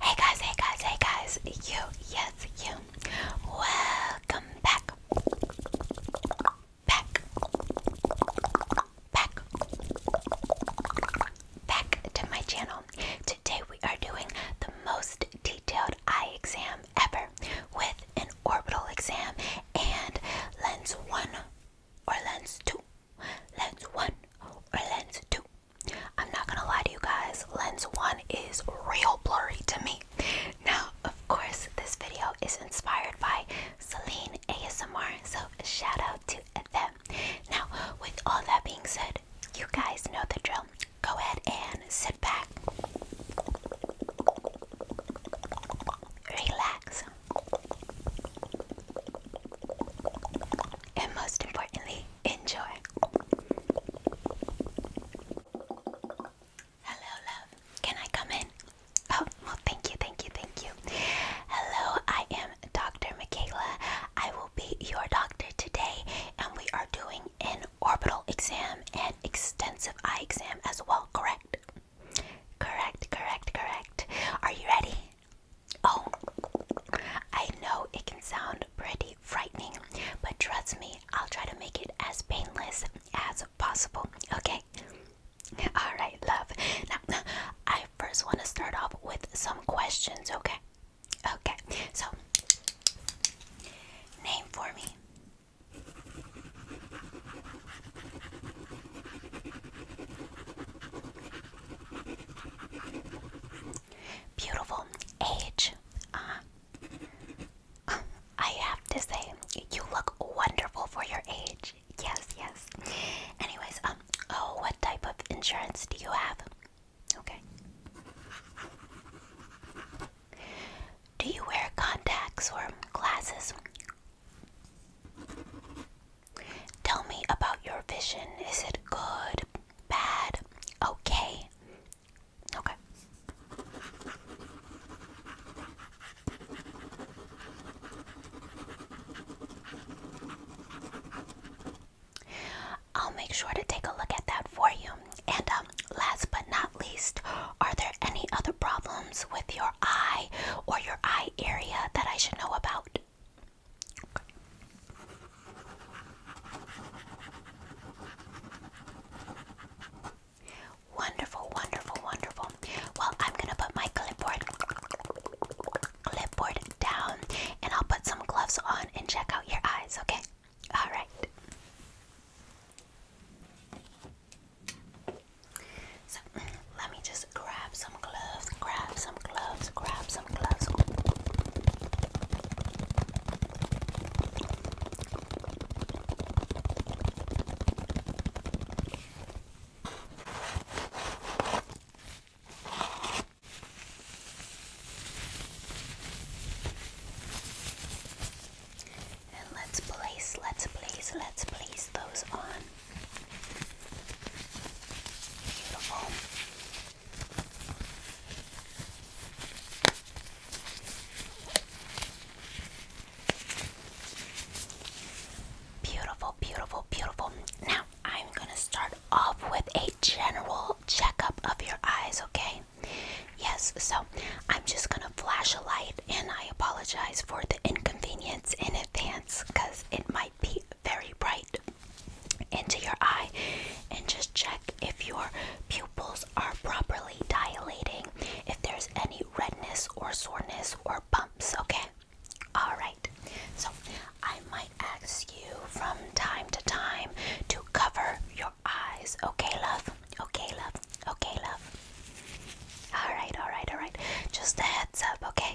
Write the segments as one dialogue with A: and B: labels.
A: Hey guys, hey guys, hey guys, you, yes, you. Welcome back. Back. Back. Back to my channel. Today we are doing the most detailed eye exam ever with an orbital exam and lens 1 or lens 2 lens one or lens two. I'm not gonna lie to you guys, lens one is real blurry to me. Now, of course, this video is inspired by Celine ASMR, so shout out to them. Now, with all that being said, you guys know the drill. Go ahead and sit back, relax, and most importantly, enjoy. Hello, love. Can I come in? Oh, well, thank you, thank you, thank you. Hello, I am Dr. Michaela. I will be your doctor today, and we are doing an orbital exam and extensive eye exam as well, correct? Correct, correct, correct. Are you ready? Oh, I know it can sound pretty frightening, but trust me, I'll try to make it as painless as possible, okay? Alright, love. Now, I first want to start off with some questions, okay? Okay, so name for me. Beautiful age. Uh, I have to say, you look wonderful for your age. Yes, yes. Anyways, um, oh, what type of insurance do you have? Okay. Do you wear contacts or glasses? Tell me about your vision. Is it good, bad, okay? Okay. I'll make sure to take a look at that for you. And um, last but not least, are there any other problems with your eye or your eye area that I should know about? Wonderful, wonderful, wonderful. Well, I'm gonna put my clipboard clipboard down and I'll put some gloves on and check out your eyes, okay? Alright let me just grab some gloves, grab some gloves, grab some gloves. And let's place, let's place, let's place those on. Beautiful. Beautiful, beautiful, Now I'm going to start off with a general checkup of your eyes, okay? Yes, so I'm just going to flash a light and I apologize for the inconvenience in advance because it might be very bright into your eye and just check if your pupils are properly dilating, if there's any redness or soreness or bumps, okay? Alright, so I might ask you from time to time to cover your eyes, okay, love? Okay, love? Okay, love? Alright, alright, alright. Just a heads up, okay?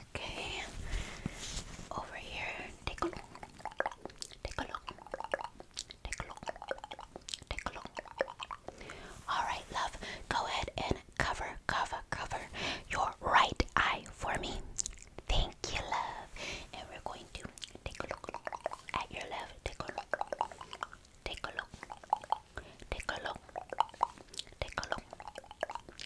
A: okay? Over here, take a look. Take a look. Take a look. Take a look. Alright, love. Go ahead and cover, cover, cover your right eye for me. Thank you, love. And we're going to take a look at your left. Take a look. Take a look. Take a look. Take a look.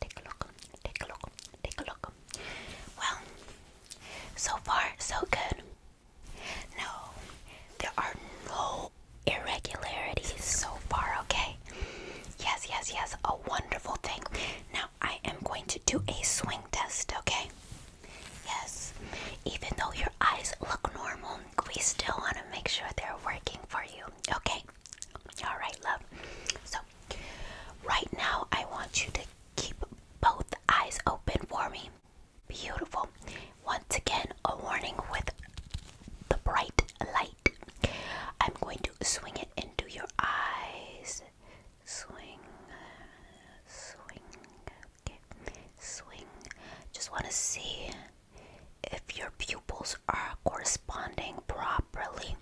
A: Take a look. Take a look. Take a look. Well, so far so good. No, there are no irregularities so far, okay? Yes, yes, yes. A wonderful thing. Now I am going to do a swing test, okay? Yes. Even though your eyes look normal, we still want to make sure they're working for you, okay? All right, love. So, right now, I want you to keep both eyes open for me. Beautiful. Once again, a warning with the bright light. I'm going to swing it into your eyes. Swing, swing, swing. Just want to see if your pupils are corresponding properly.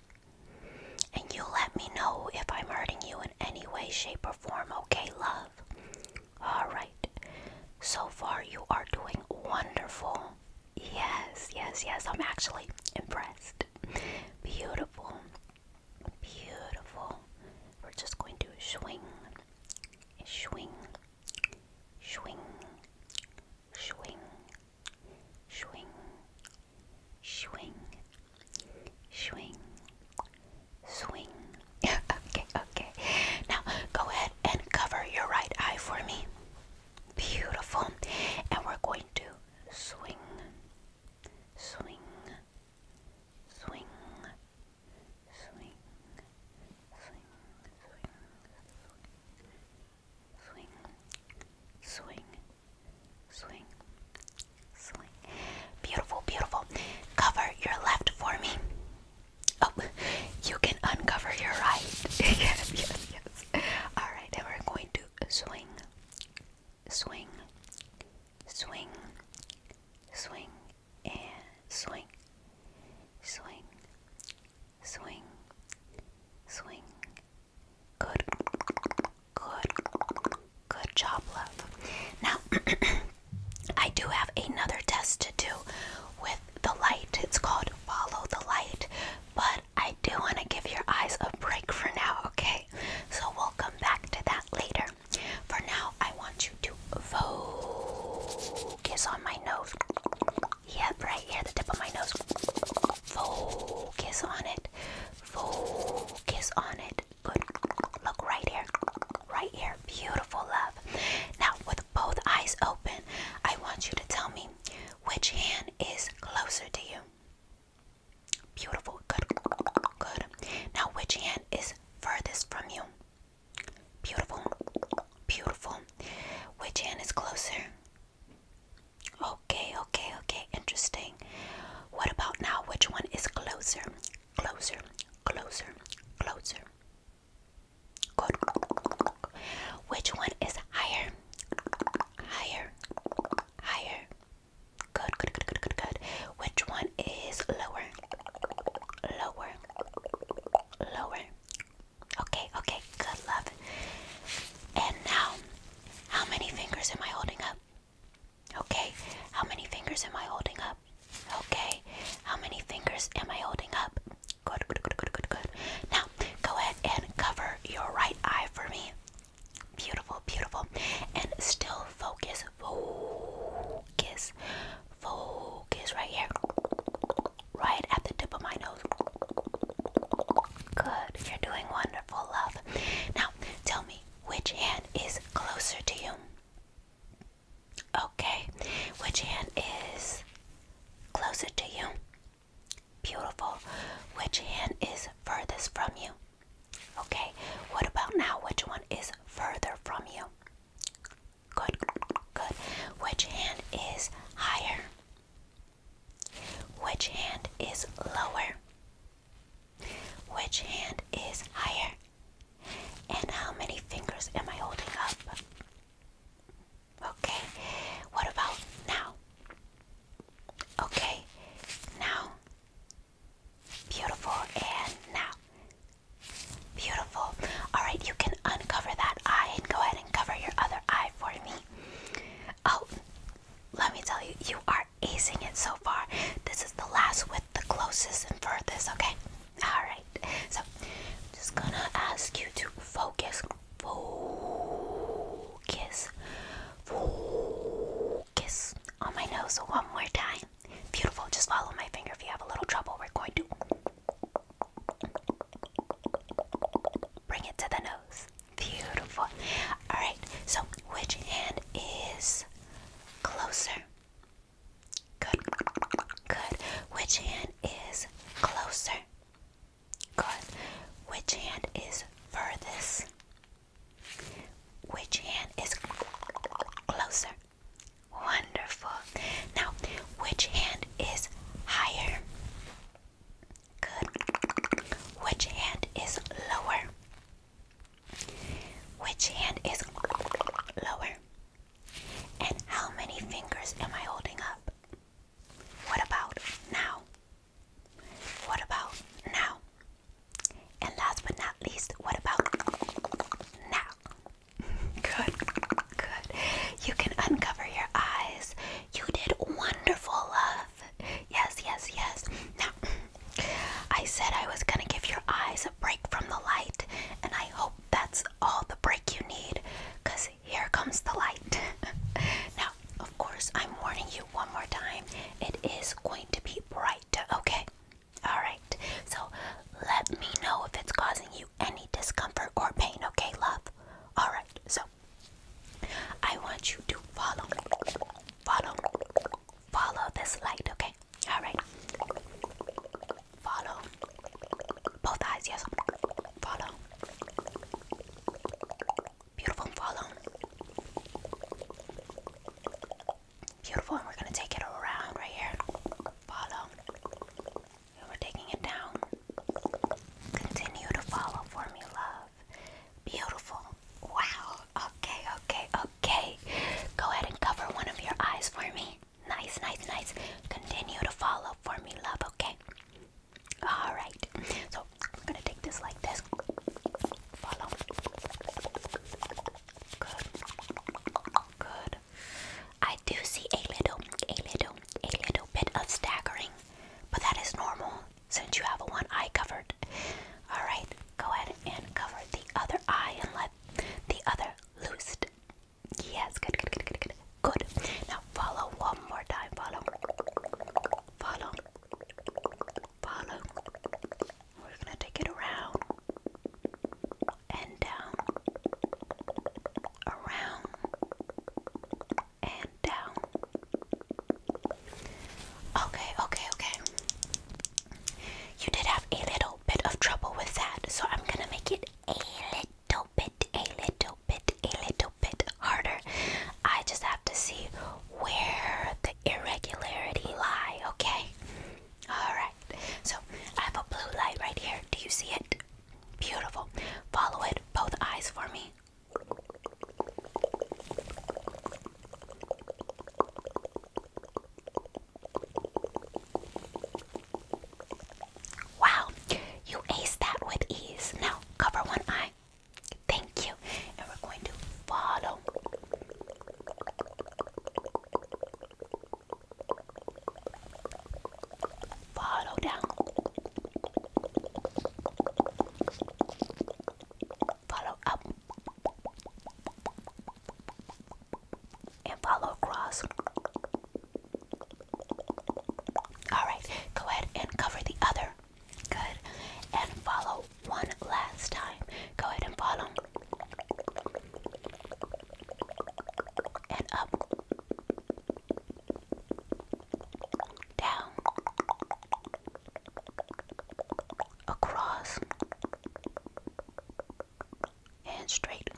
A: And you let me know if I'm hurting you in any way, shape, or form, okay, love? Alright. So far, you are doing wonderful. Yes, yes, yes. I'm actually impressed. Beautiful. Beautiful. We're just going to swing, swing, swing, swing, swing, swing, swing, swing. okay, okay. Now go ahead and cover your right eye for me. Beautiful. And we're going to swing, swing, swing, swing, swing, swing, swing, swing, swing, swing, swing. Beautiful, beautiful. Cover your left for me. Oh, you can uncover your right. yes, yes, Alright, and we're going to swing, swing, swing, swing, and swing, swing, swing, swing, Good. Good. Good job, love. Now, I do have another test to do with the light. It's called Follow the Light, but I do want to give your eyes a break for now, okay? So we'll come back to that later. For now, I want you to focus on my nose. Yep, right here, the tip of my nose. Focus on it. Focus on it. Good. Look right here. Right here. Beautiful love. Now, with both eyes open, I want you to tell me which hand is closer to you. Beautiful. Good. Good. Now, which hand is furthest from you? Beautiful. Beautiful. Which hand is closer? Okay, okay, okay, interesting. What about now? Which one is closer? Closer, closer, closer. Good. Which one is higher? Higher, higher. Good, good, good, good, good, good. Which one is lower? Lower, lower. Okay, okay, good love. And now how many fingers am I holding up? Okay. How many fingers am I holding up? Okay. How many fingers am I holding up? Good, good, good, good, good, good. Now, go ahead and cover your right eye for me. Beautiful, beautiful. And still focus. Focus. Focus right here. Right at the tip of my nose. Good. You're doing wonderful, love. Now, tell me which hand is closer to you? Okay. Which hand is closer to you? Beautiful. Which hand is furthest from you? Okay. What about now? Which one is further from you? Good. Good. Which hand is higher? Which hand is lower? Which hand is higher? And how many fingers am I holding up? Okay, what about now? Okay, now. Beautiful, and now. Beautiful. Alright, you can uncover that eye and go ahead and cover your other eye for me. Oh, let me tell you, you are acing it so far. This is the last with the closest and furthest, okay? Alright, so just gonna ask you to focus, focus, focus on my nose one more time. Beautiful, just follow my finger. If you have a little trouble, we're going to bring it to the nose. Beautiful. Alright, so which hand is closer? Good. Good. Which hand is closer? Good. Which hand is furthest? Which hand is closer? Wonderful. Now, which hand is higher? Good. Which hand is lower? Which hand is lower? And how many fingers am I holding up? What about now? What about now? And last but not least, what about now? Good, good. You can uncover your eyes. You did wonderful, love. Yes, yes, yes. Now, I said I was going to give your eyes a break from the light, and I hope that's all the break you need because here comes the light. now, of course, I'm warning you one more time it is going to be bright, okay? Alright, so let me know if it's causing you any discomfort or pain, okay, love? Alright, so I want you to follow, follow, follow this light, okay? Alright. Follow. Both eyes, yes. Follow. Beautiful, follow. Beautiful, and we're gonna take it around right here. Follow. And we're taking it down. Continue to follow for me, love. Beautiful. Wow. Okay, okay, okay. Go ahead and cover one of your eyes for me. Nice, nice, nice. Continue to follow for me, love, okay? Alright. So I'm gonna take this like this. Follow. Good. Good. I do see a little, a little, a little bit of staggering, but that is normal since you have one eye covered. Alright, go ahead and cover the other eye and let the other loose. Yes, good, good, good, good, good. Good. Now follow one more time. Follow. Follow. Follow. We're gonna take it around and down. Around and down. Okay, okay, okay. You did have a little bit of trouble with that, so I'm gonna make it a little bit, a little bit, a little bit harder. I just have to see where the irregularity lie, okay? Alright, so I have a blue light right here. Do you see it? Beautiful. Follow it, both eyes for me. Wow, you aced that with ease. Now cover one eye. Thank you. And we're going to follow. Follow down. Follow up and follow across. Alright, go ahead and cover the other. Good. And follow one last time. Go ahead and follow. And up down, across, and straight.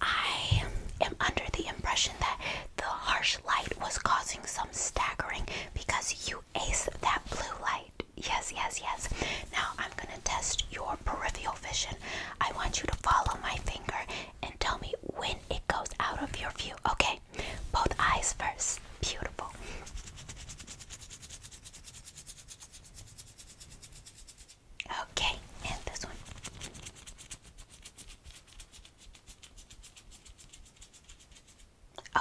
A: I am under the impression that the harsh light was causing some staggering because you ace that blue light. Yes, yes, yes. Now I'm going to test your peripheral vision. I want you to follow my finger and tell me when it goes out of your view. Okay, both eyes first. Beautiful. Okay, and this one.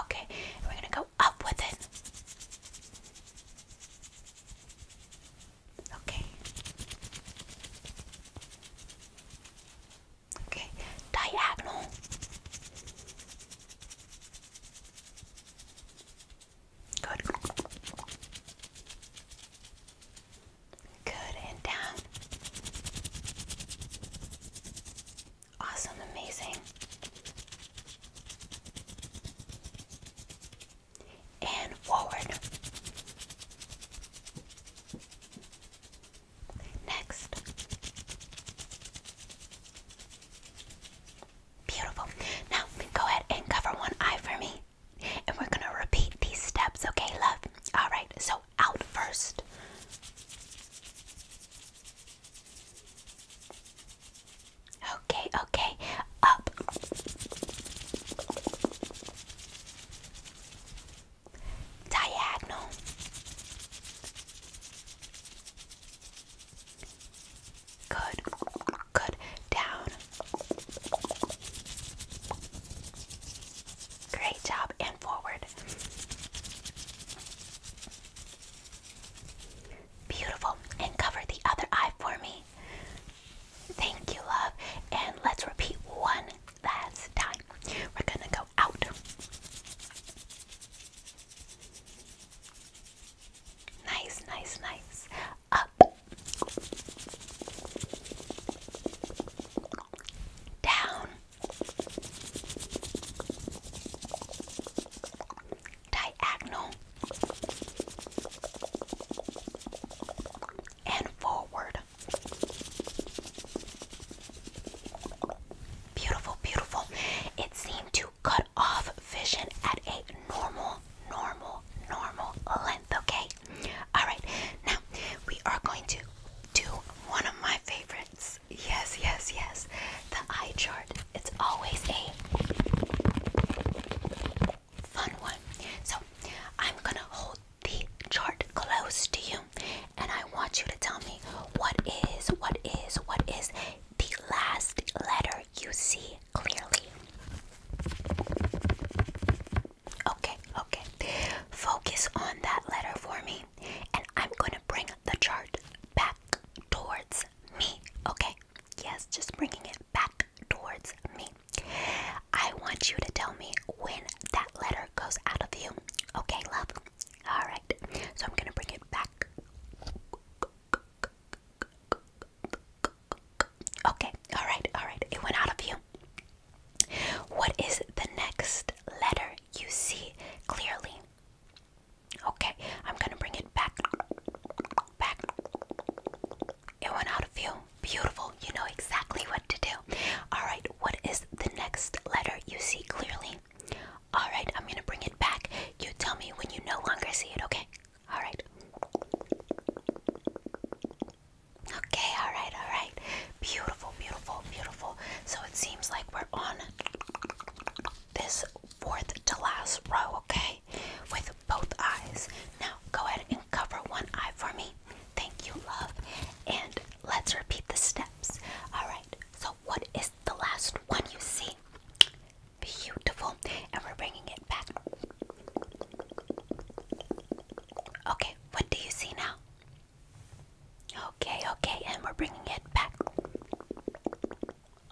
A: Okay, we're gonna go up with it. Okay. Okay. Diagonal. Good. Good and down. Awesome, amazing and forward. Next. Beautiful. Now go ahead and cover one eye for me. And we're going to repeat these steps, okay, love? Alright, so out first. Okay, okay. Up diagonal good good down great job and forward beautiful and cover the other eye for me Thank you, love. And let's repeat one last time. We're gonna go out. Nice, nice, nice. Up. Down. Diagonal. And forward. Beautiful, beautiful. It seemed to cut off vision at a normal, normal, normal length, okay? Alright, now we are going to do one of my favorites. Yes, yes, yes. The eye chart. It's always a fun one. So I'm gonna hold the chart close to you and I want you to tell me what is, what is, what is the last letter you see clearly. Okay, okay. Focus on that letter for me and I'm gonna bring the chart back towards me. Okay, yes, just bringing it back towards me. I want you to tell me when that letter goes out of you. Okay, love? Alright. So I'm going to bring it back. Okay, alright, alright. It went out of you. What is the next letter you see clearly? Okay, I'm gonna bring it back. Back. It went out of you beautiful. You know exactly what to do. All right, what is the next letter you see clearly? All right, I'm going to bring it back. You tell me when you no longer see it, okay? All right. Okay, all right, all right. Beautiful, beautiful, beautiful. So it seems like we're on this fourth to last row, okay? With both eyes. Now, go ahead and cover one eye for me. Thank you, love. And let's repeat the steps. All right. So, what is the last one you see? Beautiful. And we're bringing it back. Okay. What do you see now? Okay, okay, and we're bringing it back.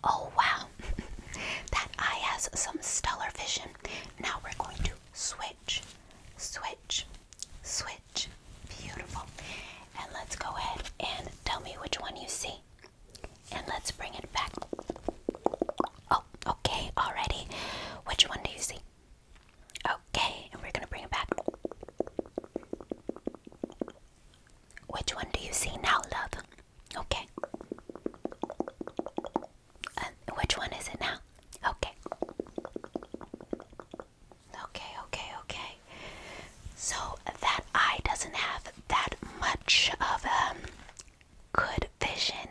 A: Oh wow, that eye has some stellar vision. Now we're going to swim switch, switch, switch. Beautiful. And let's go ahead and tell me which one you see. And let's bring it back. Oh, okay, already. Which one do you see? Okay, and we're gonna bring it back. Which one do you see now, love? Okay. Uh, which one is it now? Okay. Okay, okay, okay. So that eye doesn't have that much of um good vision.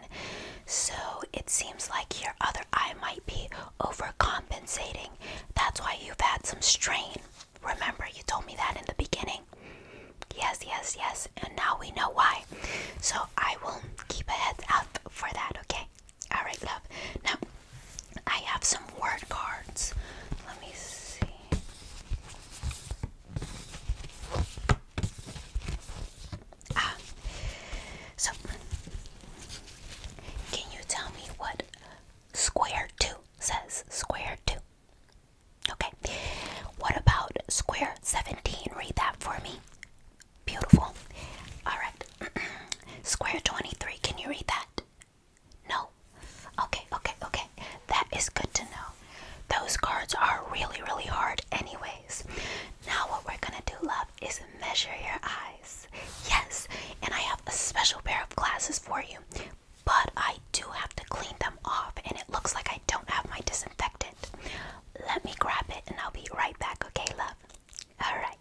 A: So it seems like your other eye might be overcompensating. That's why you've had some strain. Remember, you told me that in the beginning. Yes, yes, yes. And now we know why. So I will keep a head up for that, okay? All right, love. Now, I have some word cards. Let me see. Ah, so can you tell me what square two says? Square two. Okay. What about square 17? Read that for me. Beautiful. Alright. Square 23. Can you read that? No? Okay, okay, okay. That is good to know. Those cards are really, really hard, anyways. Now, what we're gonna do, love, is measure your eyes. Yes, and I have a special pair of glasses for you, but I do have to clean them off, and it looks like I don't have my disinfectant. Let me grab it, and I'll be right back, okay, love? Alright.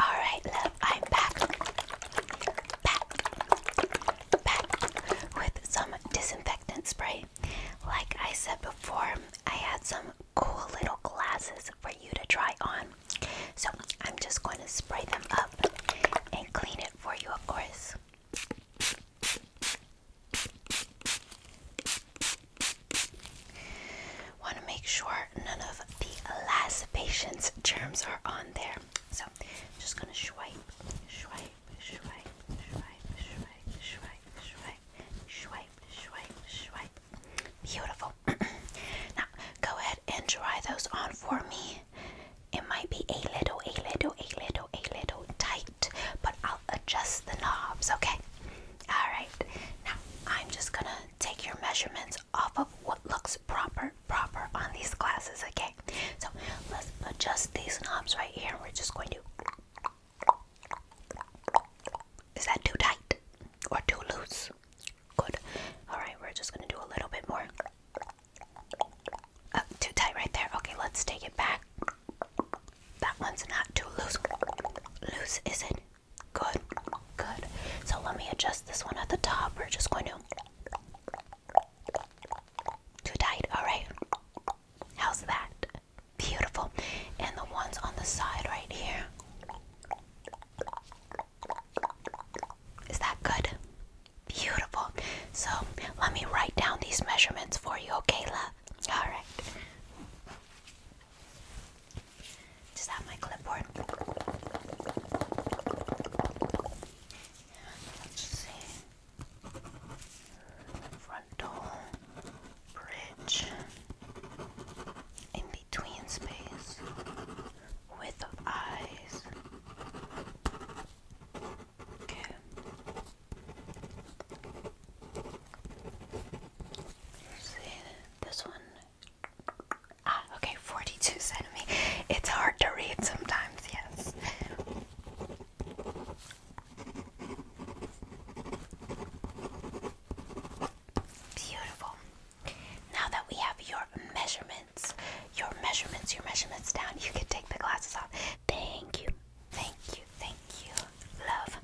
A: Alright, love, I'm back. Back. Back with some disinfectant spray. Like I said before, I had some cool little glasses for you to try on. So I'm just going to spray them up and clean it for you, of course. Want to make sure none of the last patient's germs are on there. So I'm just gonna swipe, swipe, swipe, swipe, swipe, swipe, swipe, swipe, swipe, swipe. Beautiful. now go ahead and dry those on for me. It might be a little, a little, a little, a little tight, but I'll adjust the knobs, okay? Alright, now I'm just gonna take your measurements off of what looks proper, proper on these glasses, okay? So let's adjust these knobs right here. We're just going to. Is that too tight or too loose? Good. Alright, we're just gonna do a little bit more. Uh, too tight right there. Okay, let's take it back. That one's not too loose. Loose, is it? Good, good. So let me adjust this one at the top. We're just going to. Too tight, alright. How's that? Beautiful. And the ones on the side right here. Is that good? Beautiful. So let me write down these measurements for you, okay, love? Alright. Just have my clipboard. Let's see. Frontal bridge in between space with eyes. Okay this one? Ah, okay, 42 centimeters. It's hard to read sometimes, yes. Beautiful. Now that we have your measurements, your measurements, your measurements down, you can take the glasses off. Thank you. Thank you, thank you, love.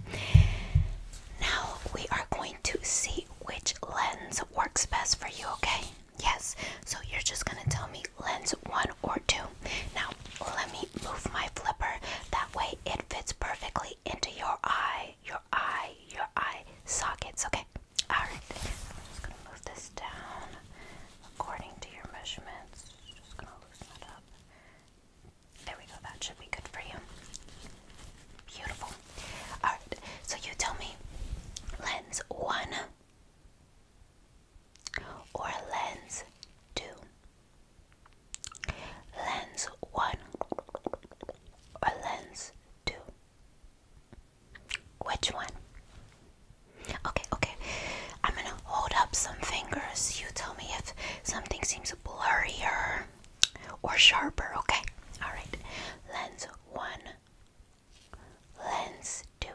A: Now we are going to see which lens works best for you, okay? Yes, so you're just gonna tell me lens one or two. Now, let me move my flipper. That way it fits perfectly into your eye, your eye, your eye sockets, okay? Alright, I'm just gonna move this down according to your measurements. Just gonna loosen it up. There we go, that should be good for you. Beautiful. Alright, so you tell me lens one or lens two. Lens one or lens two. Which one? Okay, okay. I'm gonna hold up some fingers. You tell me if something seems blurrier or sharper, okay? Alright. Lens one, lens two,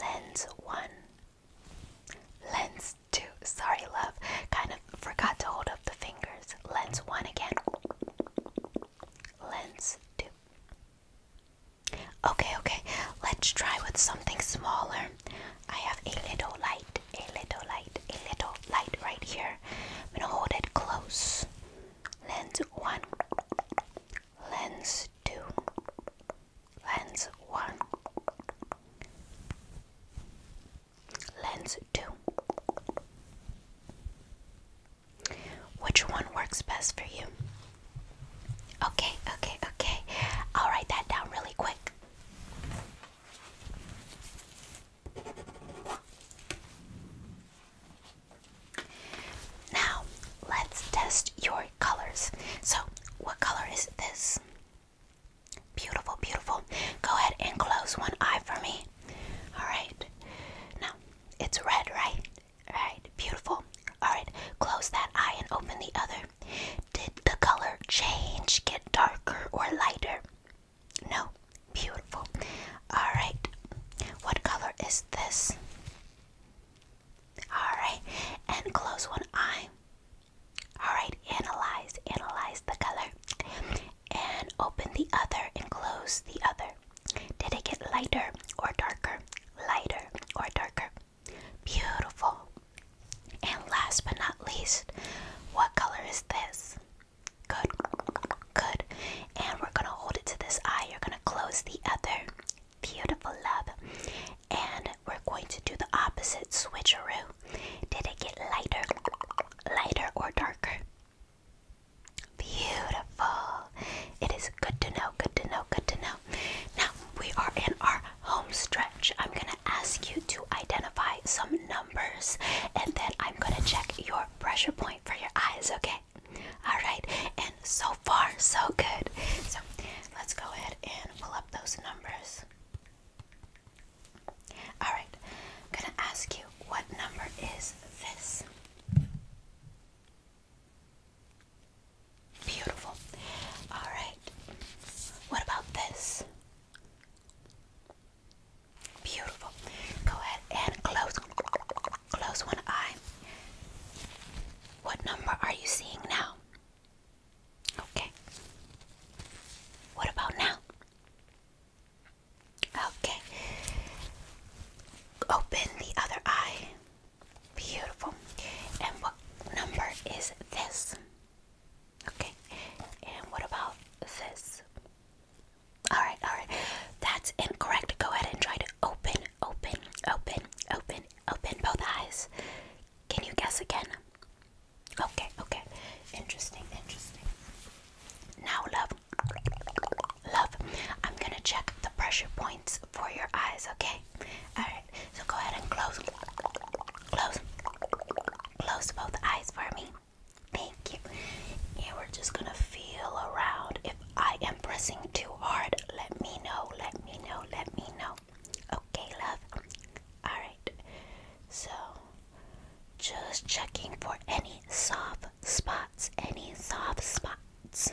A: lens one, lens two. Sorry, love. Kind of forgot to hold up the fingers. Lens one again, lens two. Okay, okay. Let's try with something smaller. I have a little light, a little light, a little light right here. I'm gonna hold it close. Lens one, lens two, lens one, lens two. Which one works best for you? Okay, okay, okay. I'll write that down really quick. Now, let's test your colors. So, what color is this? Beautiful, beautiful. Go ahead and close one eye for me. Alright. Now, it's red, right? Alright, beautiful. Alright, close that eye and open the other. Did the color change, get darker or lighter? No. Beautiful. Alright. What color is this? Alright. And close one eye. Alright. Analyze. Analyze the color. And open the other and close the other. Did it get lighter or darker? Lighter or darker? Beautiful. And last but not least, what color is this? Good, good. And we're gonna hold it to this eye. You're gonna close the other. Beautiful, love. And we're going to do the opposite switcheroo. Did it get lighter, lighter, or darker? Beautiful. It is good to know, good to know, good to know now. we are in our home stretch. I'm gonna ask you to identify some numbers and then I'm gonna check your pressure point for your eyes, okay? Alright, and so far, so good. So let's go ahead and pull up those numbers. Alright, I'm gonna ask you what number is this? Beautiful. Alright. What about this? Beautiful. Go ahead and close close one eye. What number are you seeing now? Okay. What about now? Okay. Open the other eye. Beautiful. And what number is this? Okay. And what about this? Alright, alright. That's incorrect. Go ahead and try to open, open, open, open, open both eyes. Can you guess again? Okay, okay. Interesting, interesting. Now, love, love, I'm gonna check the pressure points for your eyes, okay? Alright so go ahead and close, close, close both eyes for me. Thank you. And we're just gonna feel around. If I am pressing too hard, let me know, let me know, let me know. Okay, love. Alright, so just checking for any soft spots, any soft spots.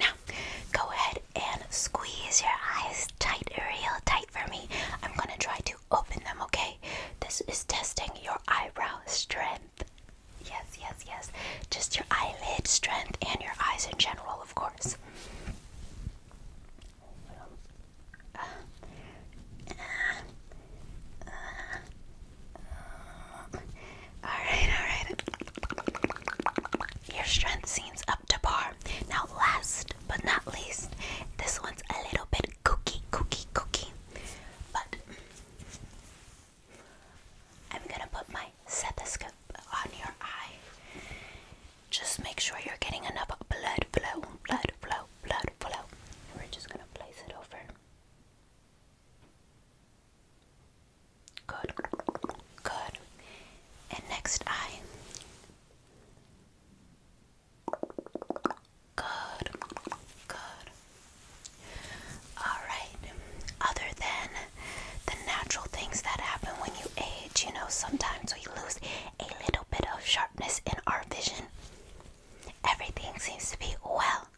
A: Now, go ahead and squeeze your eyes tight, real tight for me. I'm gonna try to open them, okay? This is testing your eyebrow strength. Yes, yes, yes. Just your eyelid strength and your eyes in general, of course. Uh, uh, uh, alright, alright. Your strength seems up to par. Now, last but not least, this one's a little bit kooky, kooky, kooky. But I'm gonna put my stethoscope on your eye. Just make sure you're getting enough blood flow, blood flow, blood flow. we're just gonna place it over. Good. Good. And next eye. Good. Good. Alright. Other than the natural things that happen when you age, you know, sometimes we lose a little bit of sharpness in our vision. Everything seems to be well.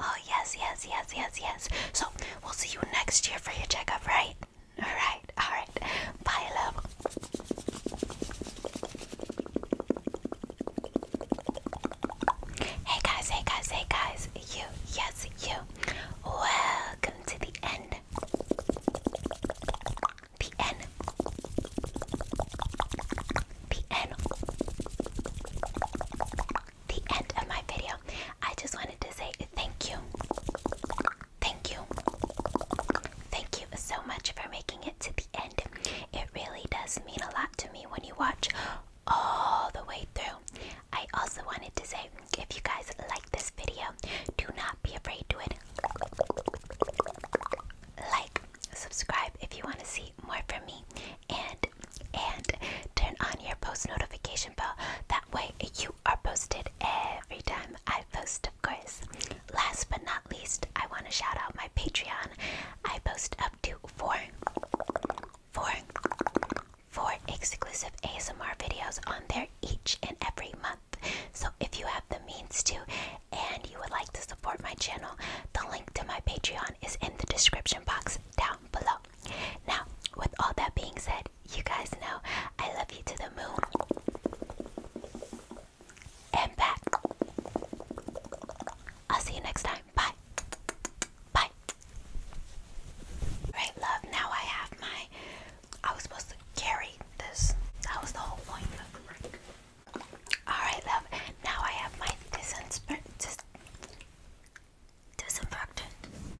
A: Oh, yes, yes, yes, yes, yes. So, we'll see you next year for your checkup, right? Alright, alright. Bye, love. Hey guys, hey guys, hey guys. You, yes, you. Welcome to the end. The end. The end the end of my video. I just wanted to say thank you. Thank you. Thank you so much for making it to the end. It really does mean a lot to me when you watch all the way through. I also wanted to say if you guys like this video, do not be afraid to it. Like, subscribe if you want to see more from me and and turn on your post notification bell. That way you are posted every time I post, of course. Last but not least, I want to shout out my Patreon. I post up to four, four, four exclusive ASMR videos on there each and every month. So if you have the means to and you would like to support my channel, the link to my Patreon is in the description box down below. Now, with all that being said, you guys know I love you to the moon and back. I'll see you next time. Bye. Bye. Right, love. Now I have my. I was supposed to carry this. That was the whole point Alright, love. Now I have my disinfectant. Disinfectant.